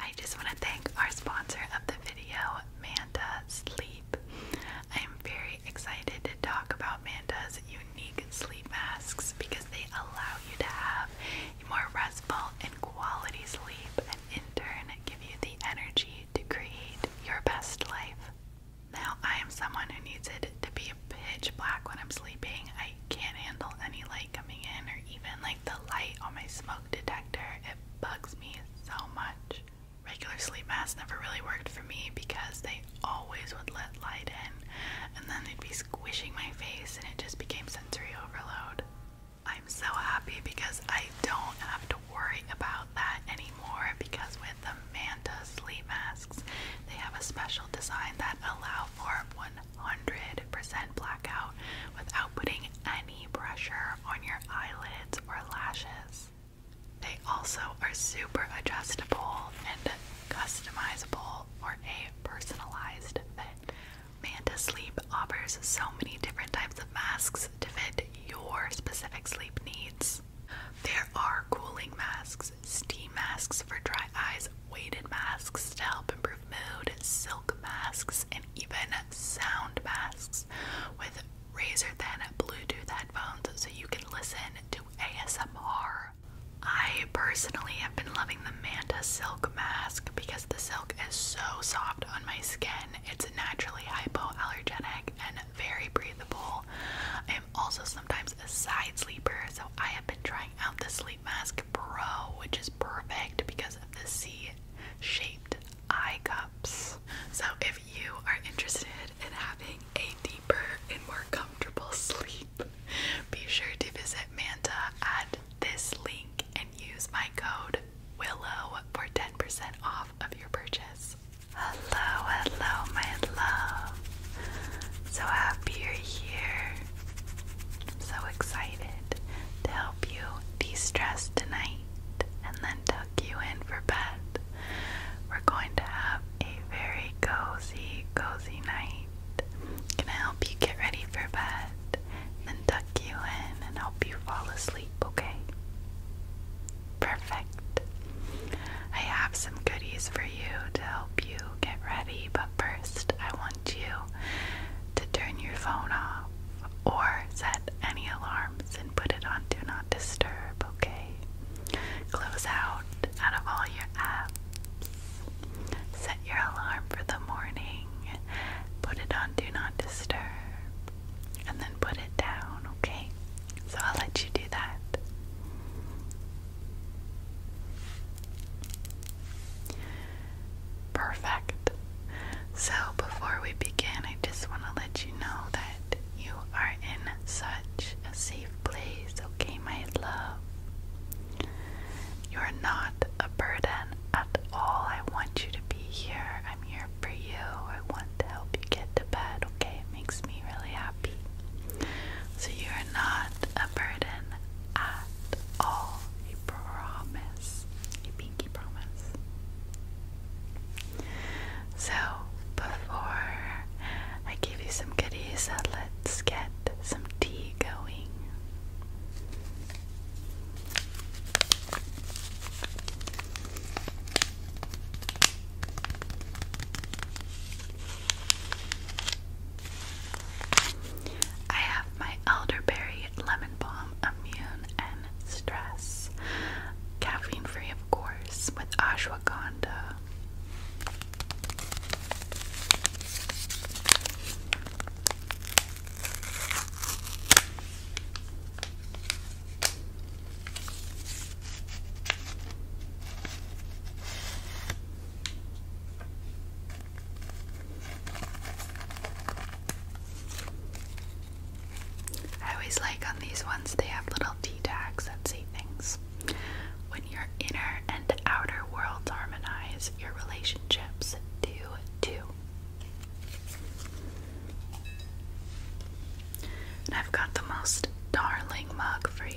I just want to thank our sponsor of the video, Manta Sleep. I am very excited to talk about Manta's unique sleep masks because they allow you to have more restful and quality sleep and in turn give you the energy to create your best life. Now, I am someone who needs it to be pitch black when I'm sleeping. I can't handle any light coming in or even like the light on my smoke detector. It bugs me so much. Regular sleep masks never really worked for me because they always would let light in and then they'd be squishing my face and it just became sensory overload. I'm so happy because I don't have to worry about that anymore because with the Manta sleep masks, they have a special design that allow for 100% blackout without putting any pressure on your eyelids or lashes. They also are super adjustable and customizable for a personalized fit. Manta Sleep offers so many different types of masks to fit your specific sleep needs. There are cooling masks steam masks for dry eyes, weighted masks to help improve mood, silk masks, and even sound masks with razor thin Bluetooth headphones so you can listen to ASMR. I personally have been loving the Manta Silk Mask because the silk is so soft on my skin. It's naturally hypoallergenic and very breathable. I'm also sometimes a side sleeper, so I have been trying out the Sleep Mask Pro, which is perfect because of the C shaped eye cups. So, if you are interested in having a deeper and more comfortable sleep, be sure to visit Manta at this link and use my code WILLOW for 10% off of your purchase. Hello, hello, my love. So happy you're here. so excited to help you de stress tonight and then tuck you in for bed. We're going to have a very cozy, cozy night. Gonna help you get ready for bed, then tuck you in and help you fall asleep, okay? Perfect. I have some goodies for you to help you get ready, but first I want you to turn your phone off or set any alarms and put it on Do Not Disturb, okay? Close out out of all your apps. Set your alarm for the morning, put it on Do Not Disturb, and then put it down, okay? So I'll let you do that. Perfect. So, before we begin, I just want to let you know that you are in such a safe place, okay, my love? You're not a burden at all. I want you to be here. I'm here for you. I want to help you get to bed, okay? It makes me really happy. So you are not a burden at all. A promise. A pinky promise. So before I give you some goodies, uh, let's get some tea going. I have my elderberry lemon balm immune and stress. Caffeine free, of course, with ashwagandha. I always like on these ones, they have little tea tags that say things. When your inner and outer worlds harmonize, your relationships do too. And I've got the most darling mug for you.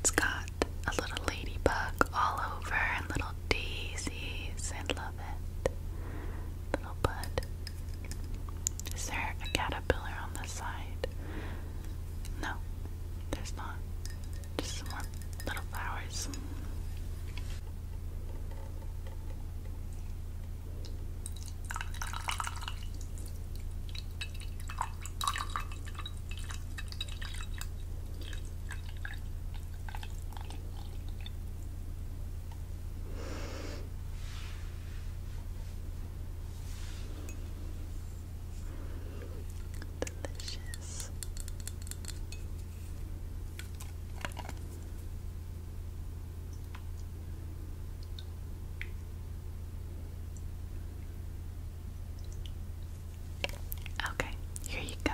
It's got a little ladybug all over and little daisies. I love it. Little bud. Is there a caterpillar on the side? No, there's not. Just some more little flowers. Delicious. Okay, here you go.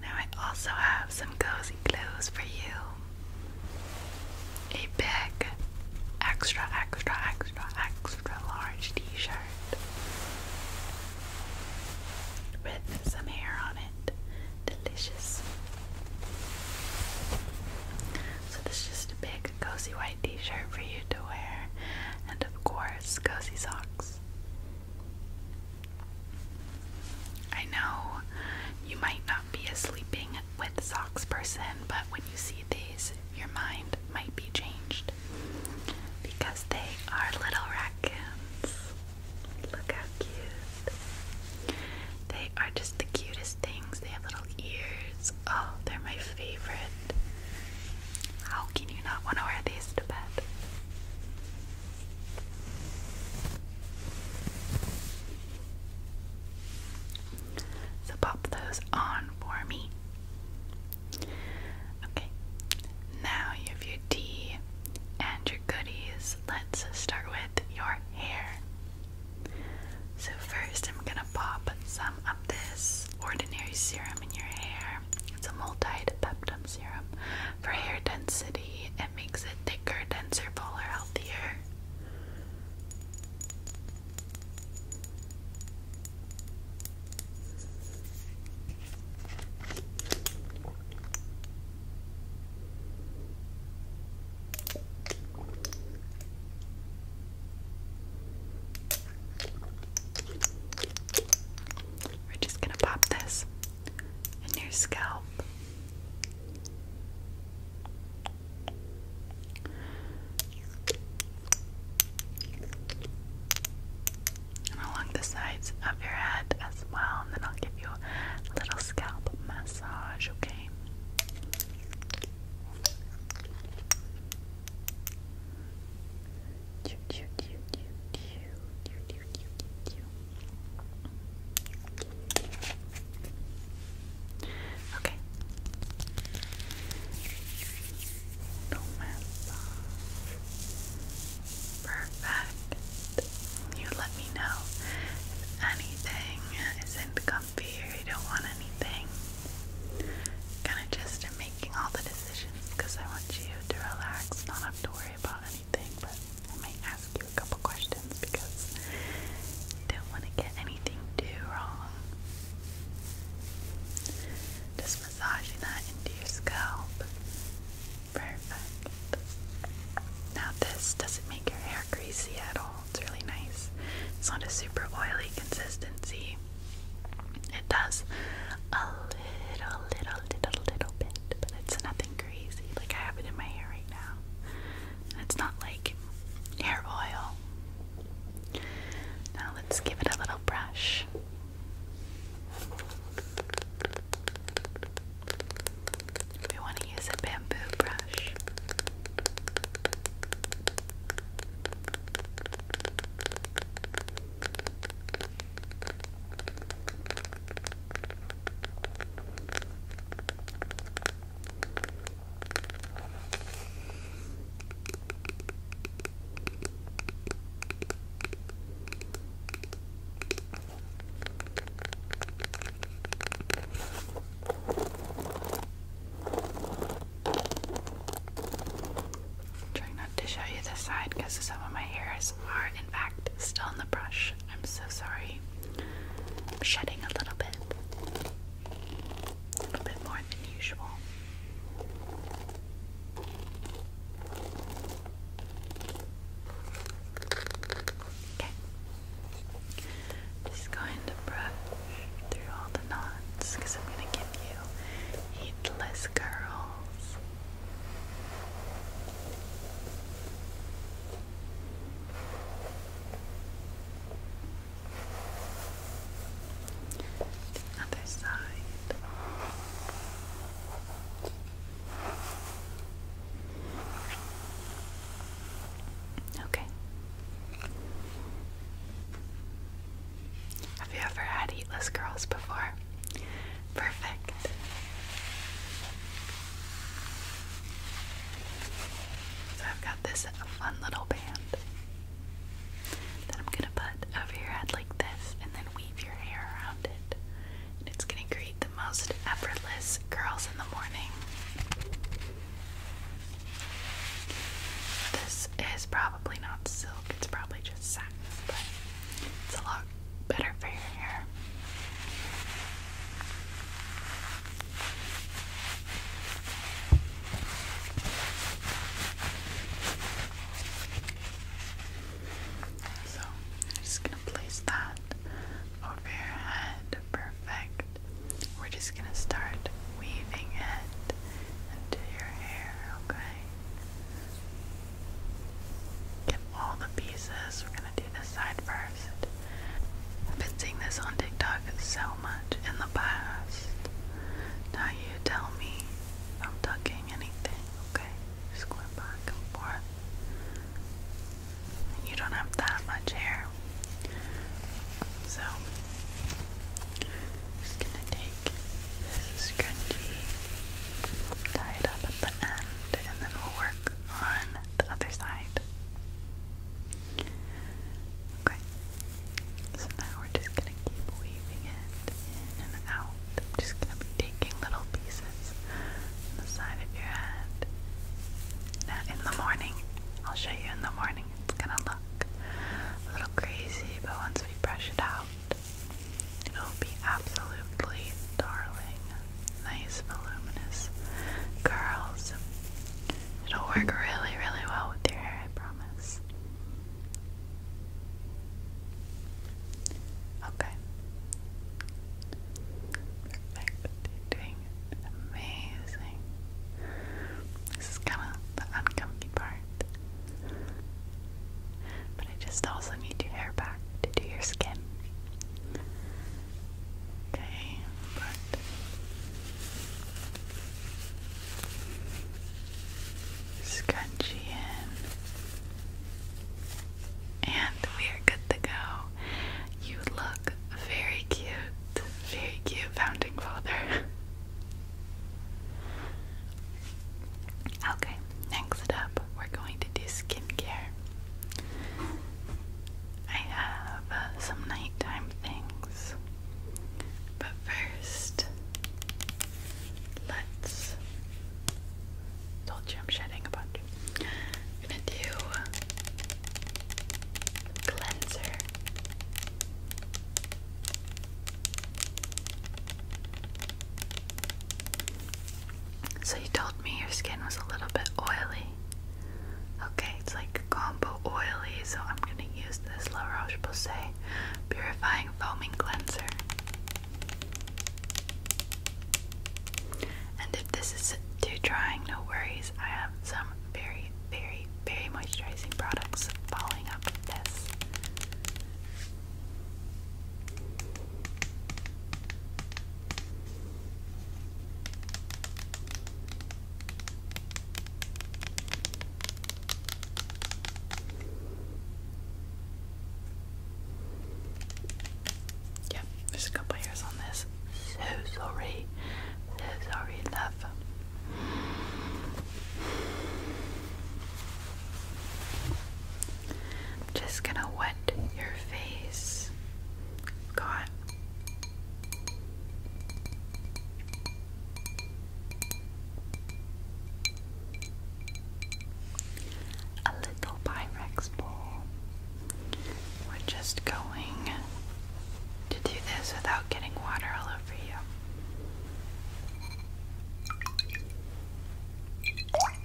Now I also have some cozy clothes for you a big extra extra extra extra large t-shirt with some hair on it. Delicious. So this is just a big cozy white t-shirt for you to wear and of course cozy socks. I know you might not be a sleeping with socks person, but when you see these, your mind might be changed because they are little raccoons. Look how cute. They are just the cutest things. They have little ears. Oh, they're my favorite. How can you not want to wear these to bed? So pop those on for me. Okay, now you have your tea and your goodies. Let's start with your hair. So, first, I'm gonna pop some of this ordinary serum in your hair. It's a multi peptide serum for hair density it makes it thicker, denser, fuller, healthier. We're just going to pop this in your scalp along the sides of your head as well, and then I'll give you a little scalp massage, okay? Okay. No mess Perfect. You let me know if anything isn't comfy or you don't want anything. Kind of just making all the decisions because I want you to relax, not have to worry about anything anything, but I might ask you a couple questions because I don't want to get anything too wrong. Just massaging that into your scalp. Perfect. Now this doesn't make your hair greasy at all. It's really nice. It's not a super oily consistency. It does a little, little, little, little bit, but it's nothing crazy. Like I have it in my hair right now. It's not like hair oil. Now let's give it a little brush. We want to use a bamboo brush. I'm trying not to show you this side because some of my hairs are, in fact, still in the brush. I'm so sorry. I'm shedding a little bit. A little bit more than usual. Okay. Just going to brush through all the knots because I'm going to give you heatless curls. The other side. Okay. Have you ever had heatless girls before? Perfect. So I've got this fun little band that I'm gonna put over your head like this and then weave your hair around it. And it's gonna create the most effortless curls in the morning. This is probably not silk, it's probably just satin, but it's a lot better for your hair. So, I'm just going to place that over your head. Perfect. We're just going to start weaving it into your hair, okay? Get all the pieces. We're gonna do this side first. I've been seeing this on TikTok so much in the past. Now you tell me I'm tucking anything, okay? Just going back and forth. You don't have that much hair. So just gonna take this scrunchie, tie it up at the end, and then we'll work on the other side. Okay, so now we're just gonna keep weaving it in and out. I'm just gonna be taking little pieces from the side of your head. Now, in the morning, I'll show you in the morning, it's gonna look a little crazy, but once we brush it out, it'll be absolutely darling nice voluminous curls. It'll work really, really well with your hair, I promise. Okay. Perfect. doing amazing. This is kind of the uncomfy part. But I just also need your hair back to do your skin. Okay, but scrunchie in, and we are good to go. You look very cute, very cute, founding father. Okay, next up, we're going to do skincare. I have uh, some nighttime things. But first, let's. Told you I'm shedding a bunch. gonna do cleanser. So you told me your skin was a little bit oily. Okay, it's like combo oily, so I'm gonna use this La Roche-Posay Purifying Foaming Cleanser. And if this is too drying, no worries. I have some very, very, very moisturizing products following up with this. Yeah, there's a couple years on this. So sorry. sorry, love just gonna wet your face. Got a little Pyrex bowl. We're just going to do this without getting water all over you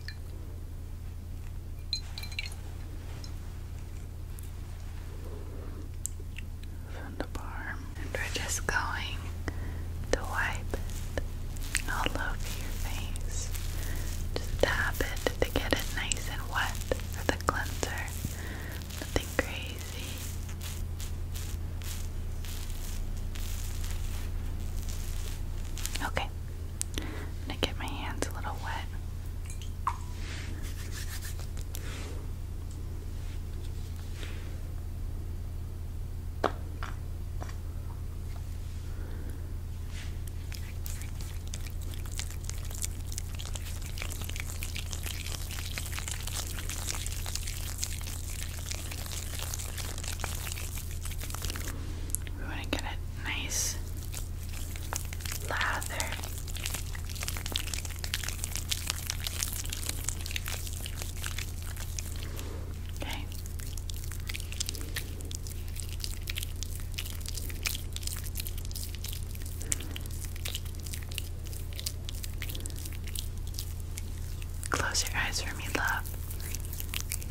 from and we're just going to wipe all over your face. Just tap it to get it nice and wet for the cleanser. Nothing crazy. Okay, i to get my hands a little wet. We want to get it nice lather. Okay. Close your eyes for me, love.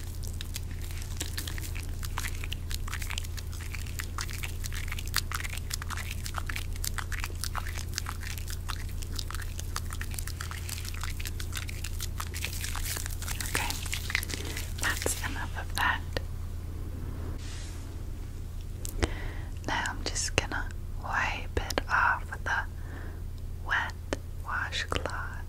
Okay, that's enough of that. Now I'm just gonna wipe it off with a wet washcloth.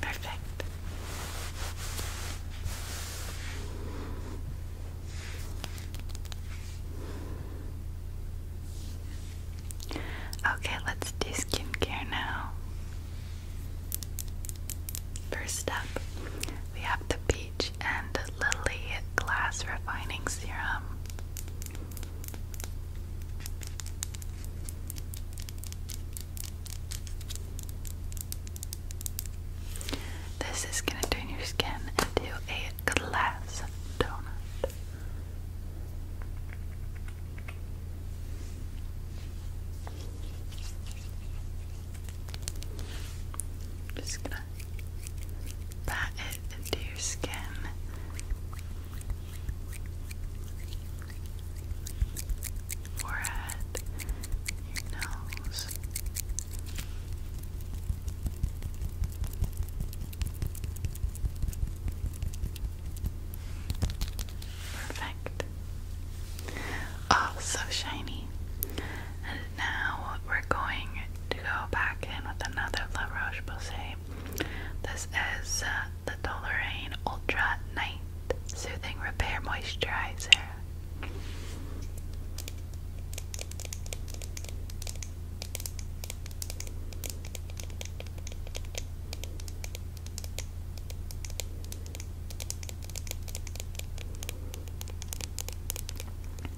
Perfect. Okay, let's do skincare now. First up, we have the Peach and Lily Glass Refining Serum. This is going to turn your skin into a glass donut. Just gonna pat it into your skin. Forehead, your nose. Perfect. Oh, so shiny. And now we're going to go back in with another La Roche Posay. This is uh, the Toleraine Ultra Night Soothing Repair Moisturizer.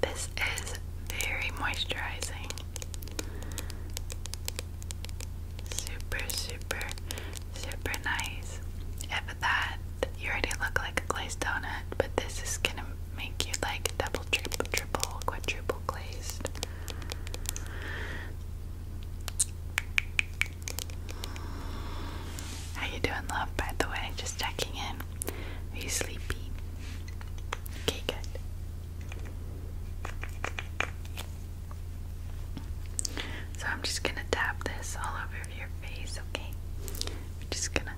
This is very moisturizing. Super, super, super nice. If that, you already look like a glazed donut, but this is gonna make you like double, triple, triple, quadruple glazed. How you doing, love? By the way, just checking in. Are you sleepy? Okay, good. So I'm just gonna tap this all over your face, okay? I'm just gonna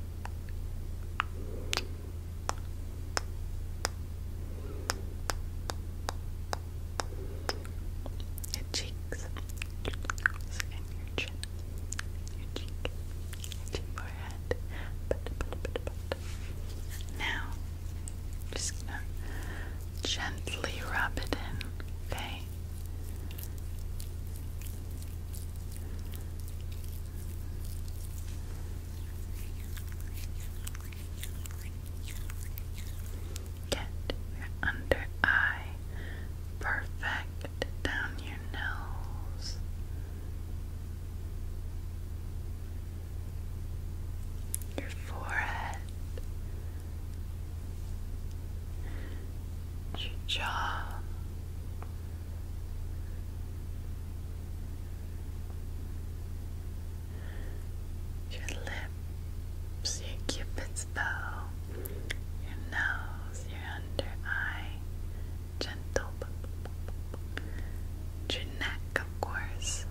your cheeks, and your chin, your cheek, your forehead. Now, just gently rub it in, okay? Get under eye perfect down your nose. Your forehead, your jaw, your lips, your cupid's bow, your nose, your under eye, gentle, your neck, of course.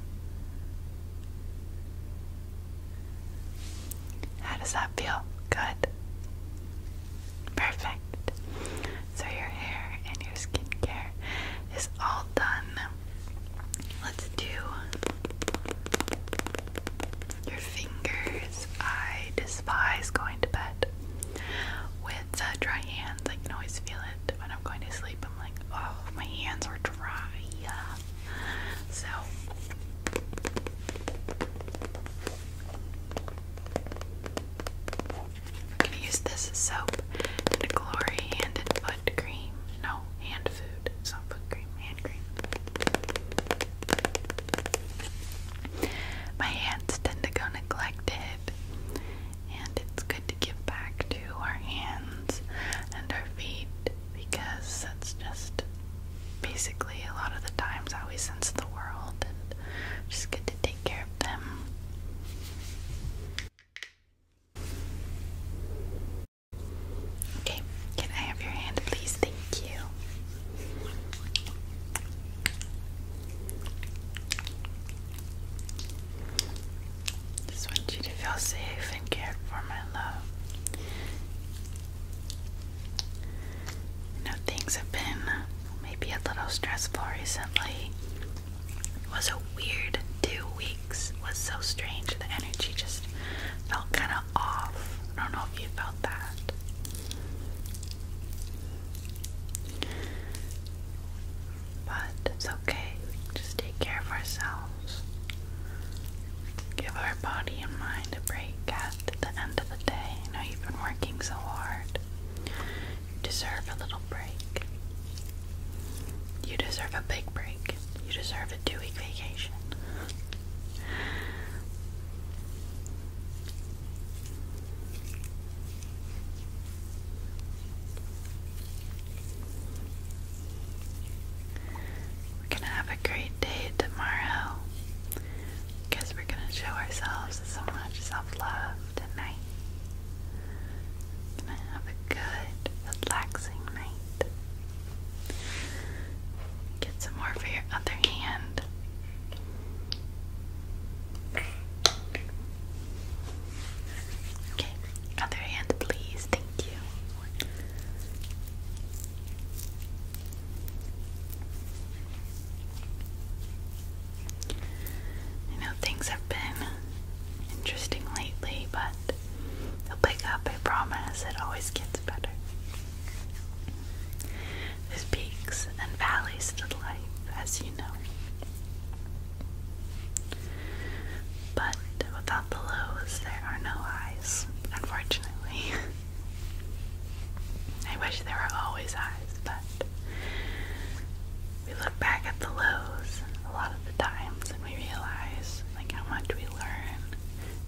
How does that feel? Good. Perfect. So your hair and your skincare is all done. Let's do your fingers. I despise going to bed with dry hands. I can always feel it when I'm going to sleep. I'm like, oh, my hands are dry. So. gonna use this soap and glory hand foot cream. No, hand food. It's not cream, hand cream. My hands tend to go neglected, and it's good to give back to our hands and our feet because that's just basically a lot of the times how we sense the world, and just good to take care of them. Okay, can I have your hand, please? Thank you. Just want you to feel safe and cared for, my love. You know, things have been maybe a little stressful recently. It was so weird two weeks. was so strange. The energy just felt kind of off. I don't know if you felt that. But it's okay. just take care of ourselves. Give our body and mind a break at the end of the day. You know, you've been working so hard. You deserve a little break. You deserve a big break. You deserve a two week vacation. We're gonna have a great day tomorrow because we're gonna show ourselves so much self love tonight gonna have a good, relaxing night. Get some more for your other hand. Okay, other hand, please. Thank you. I know things have been interesting lately, but it'll pick up, I promise. It always gets better. There's peaks and valleys to life, as you know. But without the lows, there are no eyes. unfortunately. I wish there were always eyes, but we look back at the lows a lot of the times and we realize like how much we learn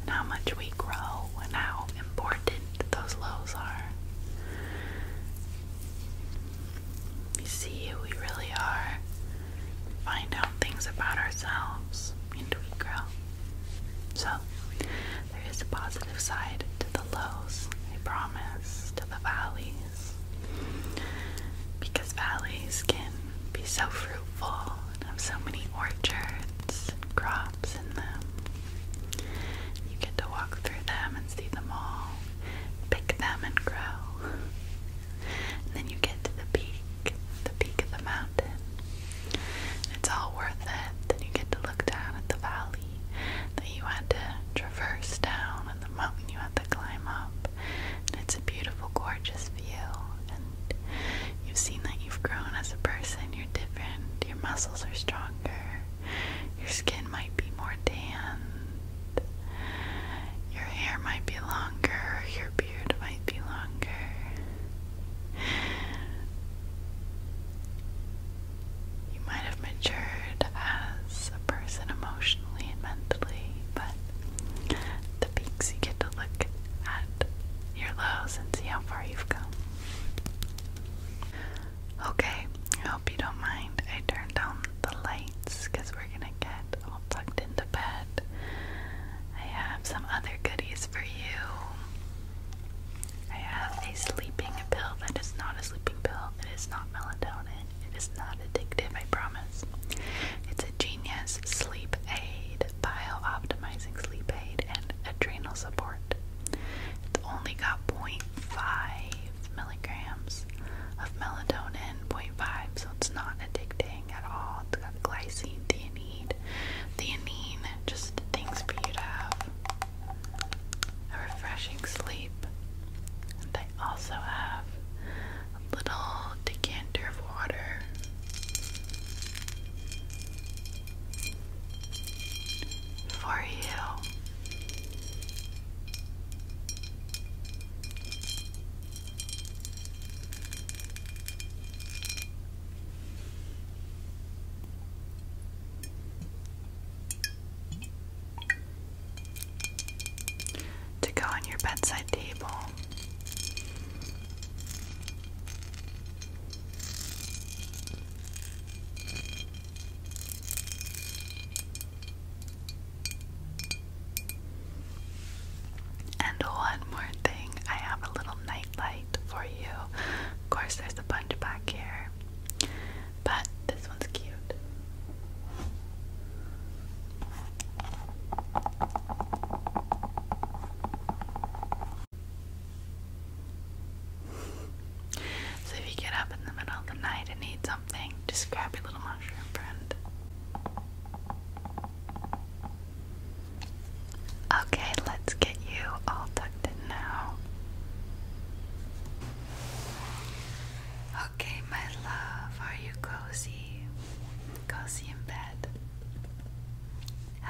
how much we grow and how important those lows are. We see who we really are, find out things about ourselves, and we grow. So, there is a positive side to the lows, I promise, to the valley because valleys can be so fruitful and have so many orchards and crops in them. You get to walk through them and see them all, pick them and grow. then you get to the peak, the peak of the mountain. It's all worth it. Then you get to look down at the valley that you had to traverse down and the mountain you had to climb up it's a beautiful, gorgeous view. And you've seen that you've grown as a person. You're different. Your muscles are stronger. Your skin might be more tan. Your hair might be longer. Your beard might be longer. You might have matured as a person emotionally emotionally and mentally, but the peaks you get to look at your lows and see how far you've come. Okay, I hope you don't mind. I turned down the lights because we're gonna get all plugged into bed. I have some other goodies for you. I have a sleeping pill that is not a sleeping pill, it is not melatonin. It is not addictive, I promise. It's a genius sleep aid, bio optimizing sleep aid, and adrenal support. It's only got 0.5 milligrams of melatonin, 0.5, so it's not addicting at all. It's got glycine, theanine, theanine, just things for you to have a refreshing sleep also have a little decanter of water. For you, to go on your bedside table. And one more thing, I have a little night for you. Of course, there's a bunch back here. But this one's cute. So if you get up in the middle of the night and need something, just grab your little mushroom friend. Okay, let's get you all tucked in now. Okay, my love, are you cozy? Cozy in bed.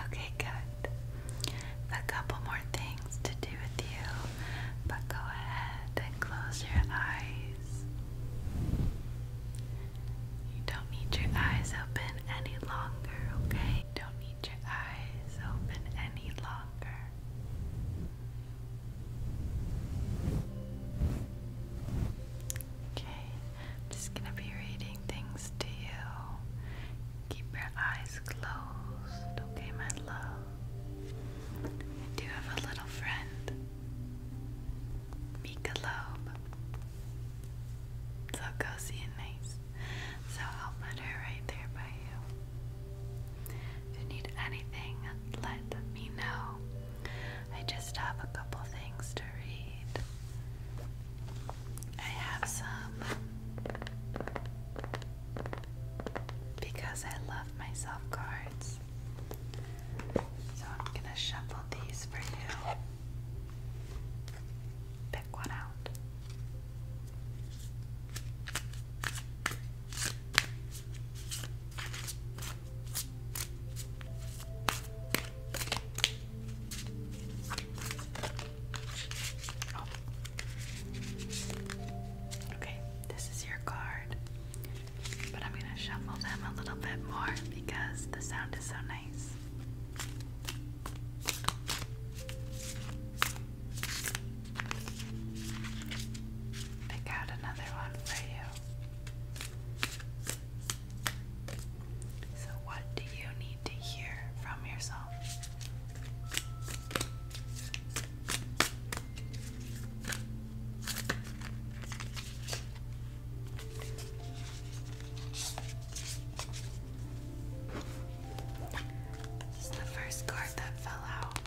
Okay, good. A couple more things to do with you, but go ahead and close your eyes. You don't need your eyes open any longer, okay? You don't need your eyes open any longer. Okay, I'm just gonna be reading things to you. Keep your eyes closed, okay, my love? I have a little friend, Mika Loeb. So cozy and nice. So I'll put her right there by you. If you need anything, let me know. I just have a couple things to read. I have some because I love myself cards. So I'm gonna shuffle these for you. Pick one out. Okay, this is your card, but I'm going to shuffle them a little bit more because the sound is so nice. Pick out another one for you. So, what do you need to hear from yourself? This is the first card that fell out.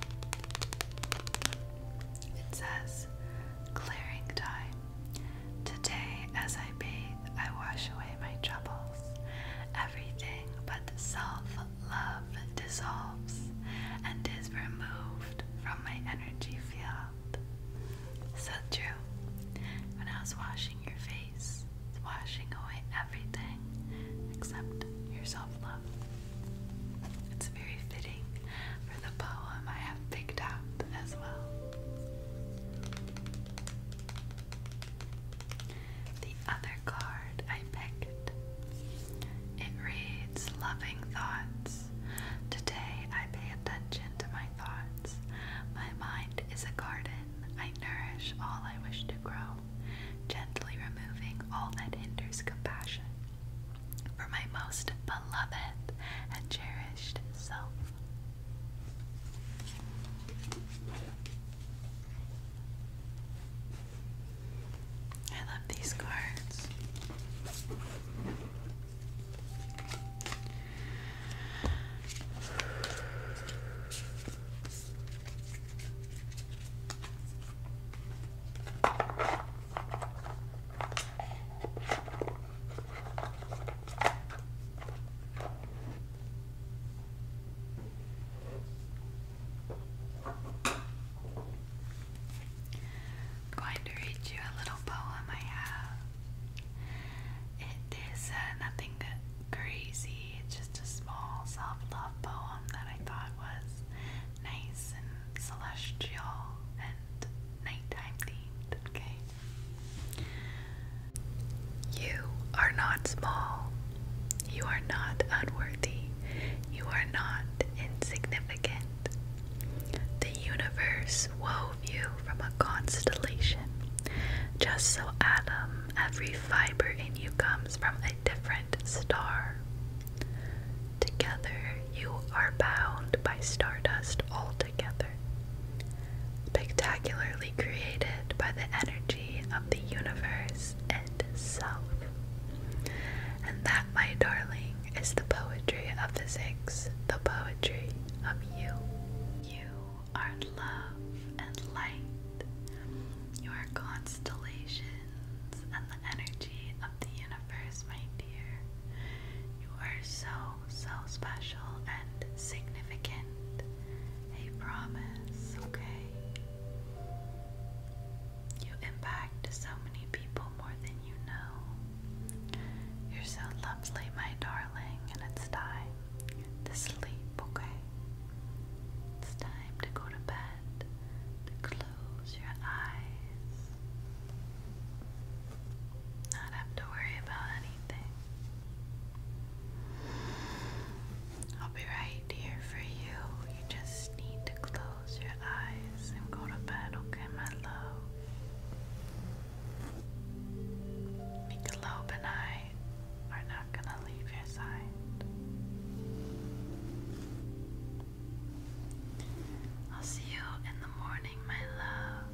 It says, Clearing Time. Today, as I bathe, I wash away my troubles. Everything but self love dissolves and is removed from my energy field. So true. When I was washing your face, it's washing away everything except your self love. It's very fitting for the poem I have picked up as well. The other card I picked. It reads Loving Thoughts. Today I pay attention to my thoughts. My mind is a garden. I nourish all I wish to grow gently removing all that hinders compassion for my most beloved and cherished self. I love these cards i going to read you a little poem I have. It is uh, nothing crazy. It's just a small self love poem that I thought was nice and celestial and nighttime themed. Okay. You are not small. You are not unworthy. You are not insignificant. The universe wove you from a constellation. Just so, Adam, every fiber in you comes from different star. Together, you are bound by stardust together, spectacularly created by the energy of the universe itself. And that, my darling, is the poetry of physics, the poetry of you. You are love and light. You are constellations and the energy of the universe, my dear. You are so, so special and significant. I promise, okay? You impact so many people more than you know. You're so lovely, my darling, and it's time to sleep, okay? It's time time to go to bed to close your eyes, not have to worry about anything. I'll be right here for you. You just need to close your eyes and go to bed, okay, my love? Make night are not going to leave your side. I'll see you in the morning, my love.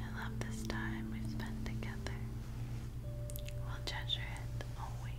I love this time we've together. We'll treasure it always.